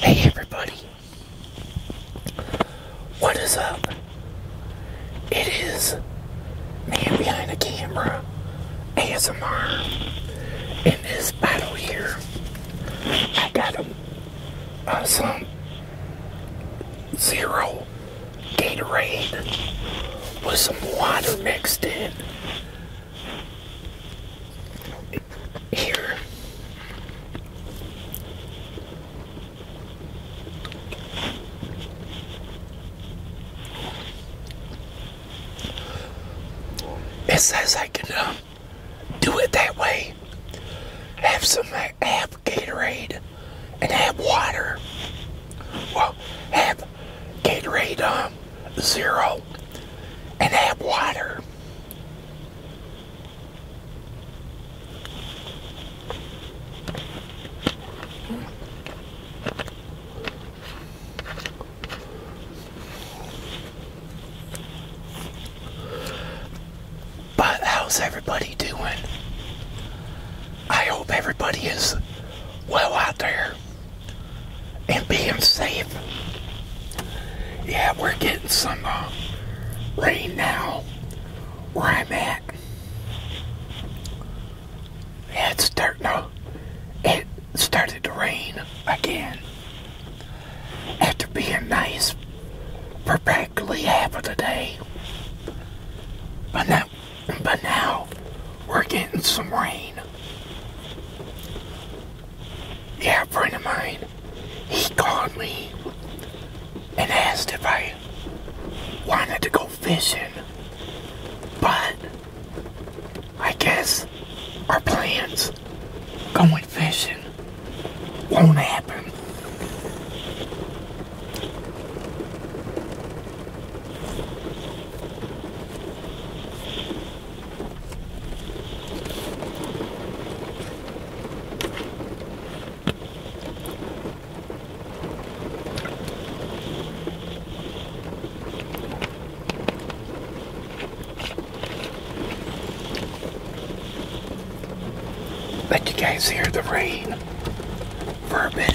Hey everybody, what is up? It is Man Behind the Camera ASMR. In this bottle here, I got a, uh, some zero Gatorade with some water mixed in here. It says I can uh, do it that way. Have some, uh, have Gatorade and have water. Well, have Get ready, um, Zero and have water. But how's everybody doing? I hope everybody is well out there and being safe. Yeah, we're getting some uh, rain now Right, I'm at. it's starting to, it started to rain again after being nice for practically half of the day. But now but now we're getting some rain. Yeah, friend of mine, he called me and asked if I wanted to go fishing. But I guess our plans going fishing won't happen. Let you guys hear the rain for a bit.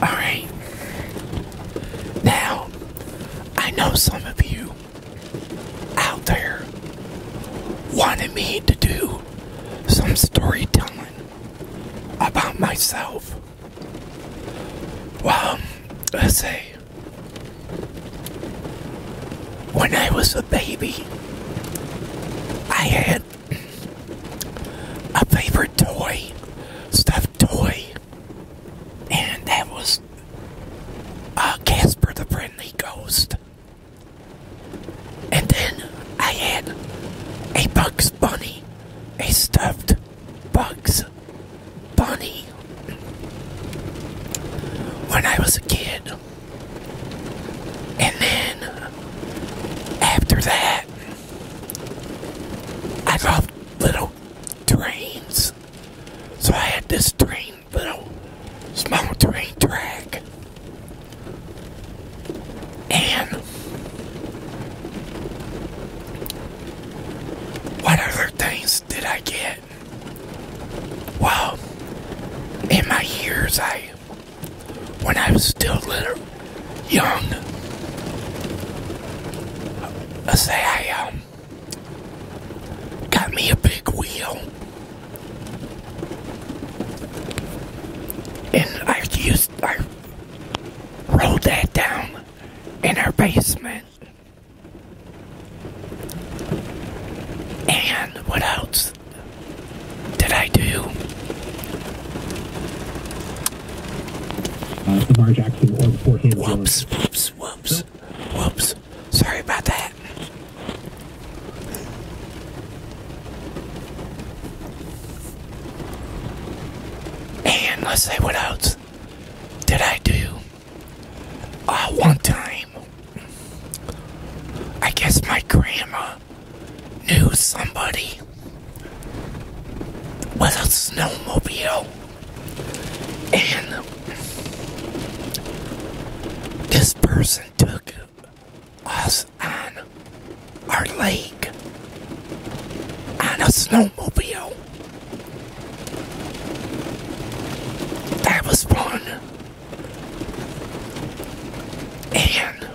Alright. Now, I know some of you out there wanted me to do some storytelling about myself. Well, I say, When I was a baby, I had a favorite toy, stuffed toy, and that was uh, Casper the Friendly Ghost. And then I had a Bugs Bunny a stuffed Bugs Bunny. When I was a kid, and then after that, I loved little trains, so I had this train, little small train track and what other things did I get? Well, in my years, I, when I was still little, young, I say I um, got me a big wheel. And I used, I rolled that down in our basement. And what else did I do? Uh, whoops, whoops, whoops, whoops. Sorry about that. And let's say what else did I do? Uh, one time, I guess my grandma knew somebody with a snowmobile, and this person took us on our lake on a snowmobile. That was fun. And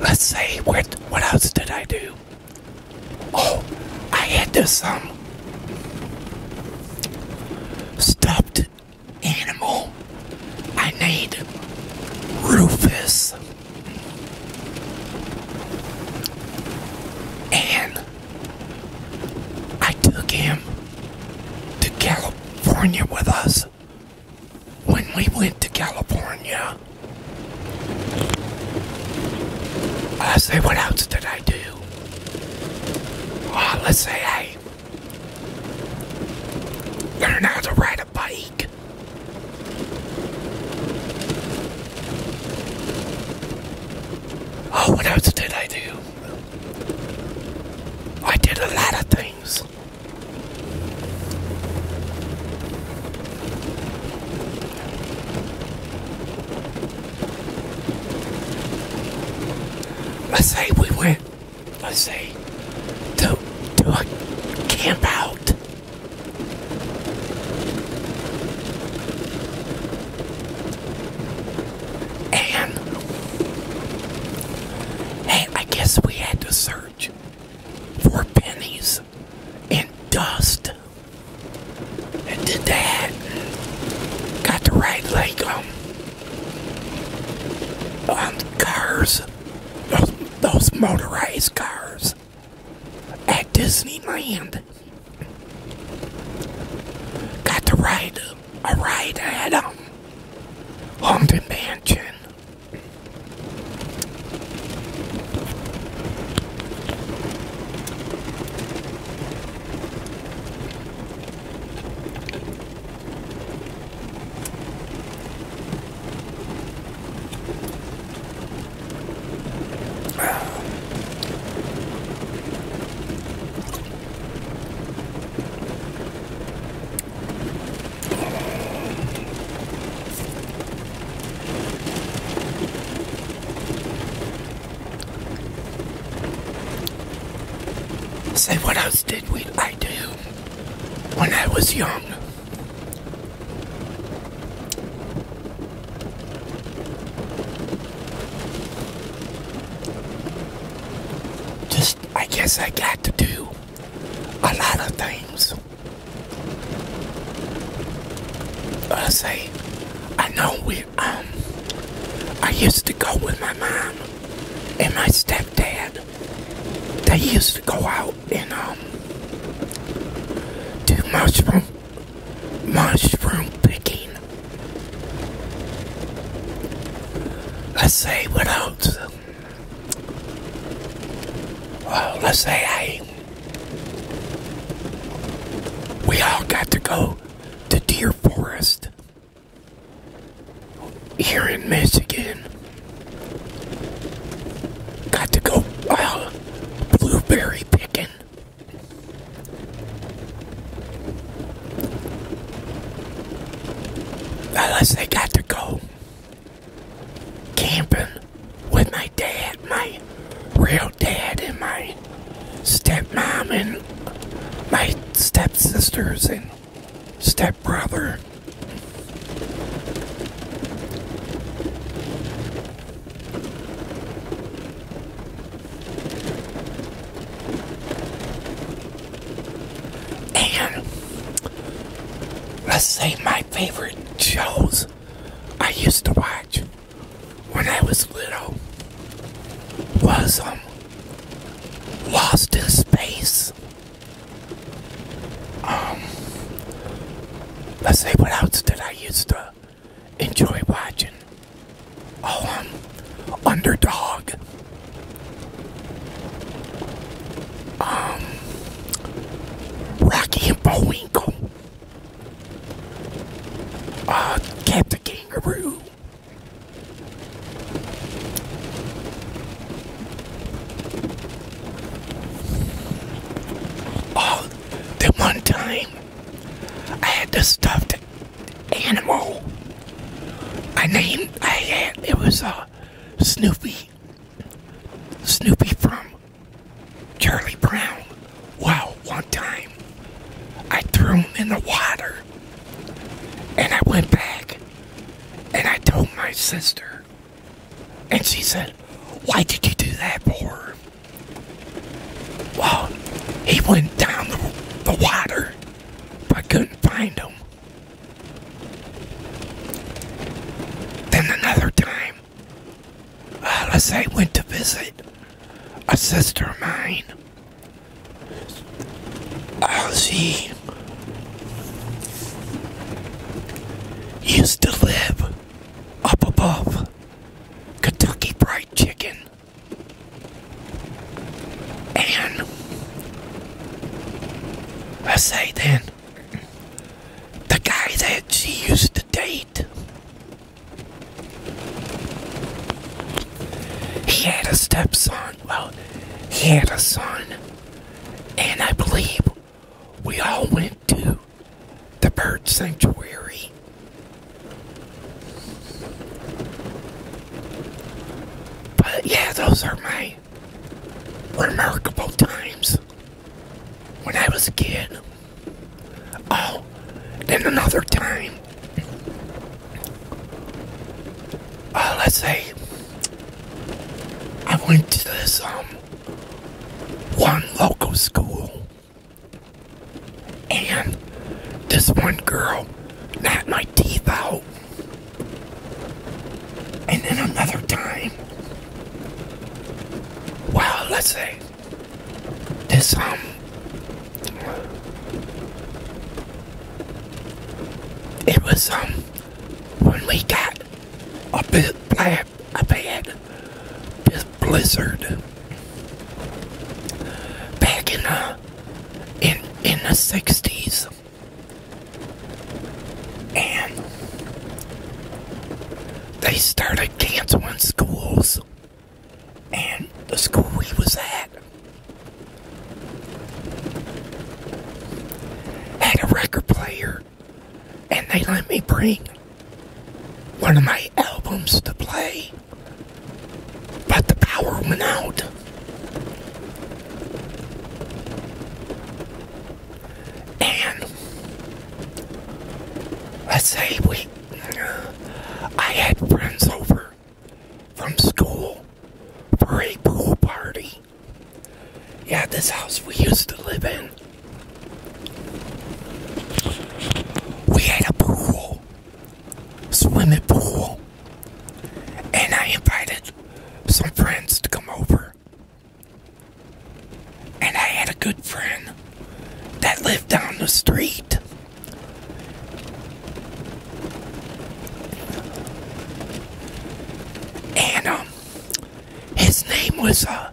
let's say what what else did I do? Oh, I had this um stuffed animal. I need Rufus. And I took him to California with us. When we went to California, I say, what else did I do? Oh, let's say I Learn how to ride a bike. Oh, what else did I do? I did a lot of things. Let's say we went let's say, to do a camp out. And I guess we had to search for pennies and dust. And did that. Got the right leg um um, cars, those, motorized cars at Disneyland. Got to ride a ride at um, Haunted Mansion say what else did we I do when I was young? Just I guess I got to do a lot of things. I say I know we um, I used to go with my mom and my step dad, they used to go out and um do mushroom mushroom picking. Let's say what else? say we all got to go to Deer Forest here in Michigan. Got to go blueberry picking. Unless they got to go camping with my dad, my real dad, and my stepmom, and my stepsisters, and fucking stepbrother. And let's say my favorite shows I used to watch when I was little was um lost in space. Um, let's see what else did I used to enjoy watching. Oh, um, Underdog. Um, Rocky and Bullwinkle. Uh, Captain Kangaroo. Oh, the one time I had to this the animal. I named I had it was a uh, Snoopy. Snoopy from Charlie Brown. Wow, one time. I threw him in the water. And I went back and I told my sister. And she said, Why did you do that for? Well, he went down the, water, but I couldn't find him. Then another time, uh, say I went to visit a sister of mine Ozzy used to live up above Kentucky Fried Chicken. And I say then, the guy that she used to date he had a stepson. Well, he had a son. And I believe we all went to the bird sanctuary. But yeah, those are my remarkable times when I was a kid. Oh, then another time. Uh, let's say I went to this um one local school, and this one girl knocked my teeth out. And then another time, well, let's say this um it was um when we got a bit black a bad this blizzard back in the uh, in in the sixties and they started canceling schools and the school we was at had a record player, and they let me bring one of my albums to play, but the power went out. And let say we I had friends over from school for a pool party. Yeah, this house we used to live in. We had a pool, swimming pool, and I invited some friends to come over. And I had a good friend that lived down the street. And um, his name was uh,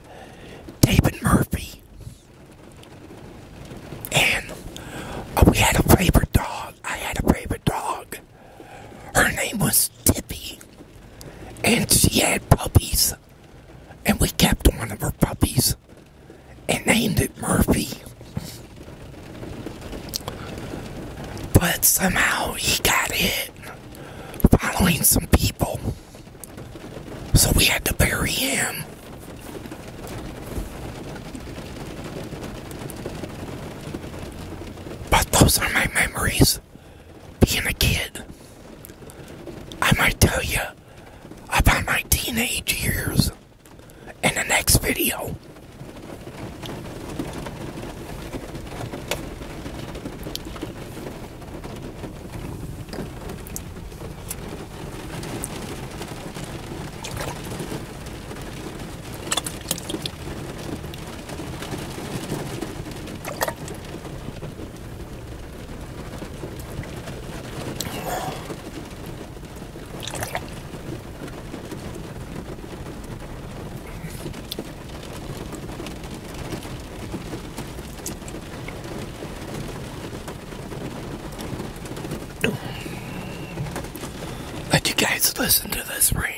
David Murphy. And uh, we had a favorite dog. I had a favorite dog. Her name was Tippy. And she had puppies. And we kept one of her puppies and named it Murphy. But somehow he got hit following some people. So we had to bury him. But those are my memories being a kid. I might tell you about my teenage years in the next video. Let you guys listen to this rain.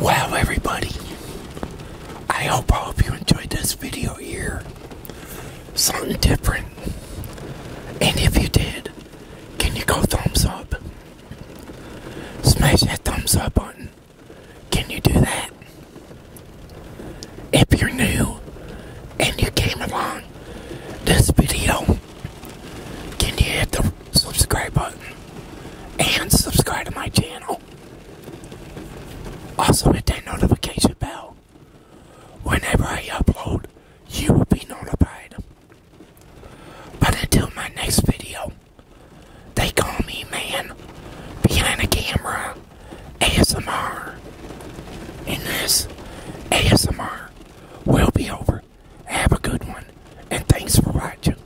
Wow, everybody. I hope I hope you enjoyed this video here. Something different. And if you did, can you go thumbs up? Smash that thumbs up button. Can you do that? If you're new and you came along this video, can you hit the subscribe button and subscribe to my channel? Also hit that notification bell. Whenever I upload, you will be notified. But until my next video, they call me man behind the camera ASMR. And this ASMR will be over. Have a good one, and thanks for watching.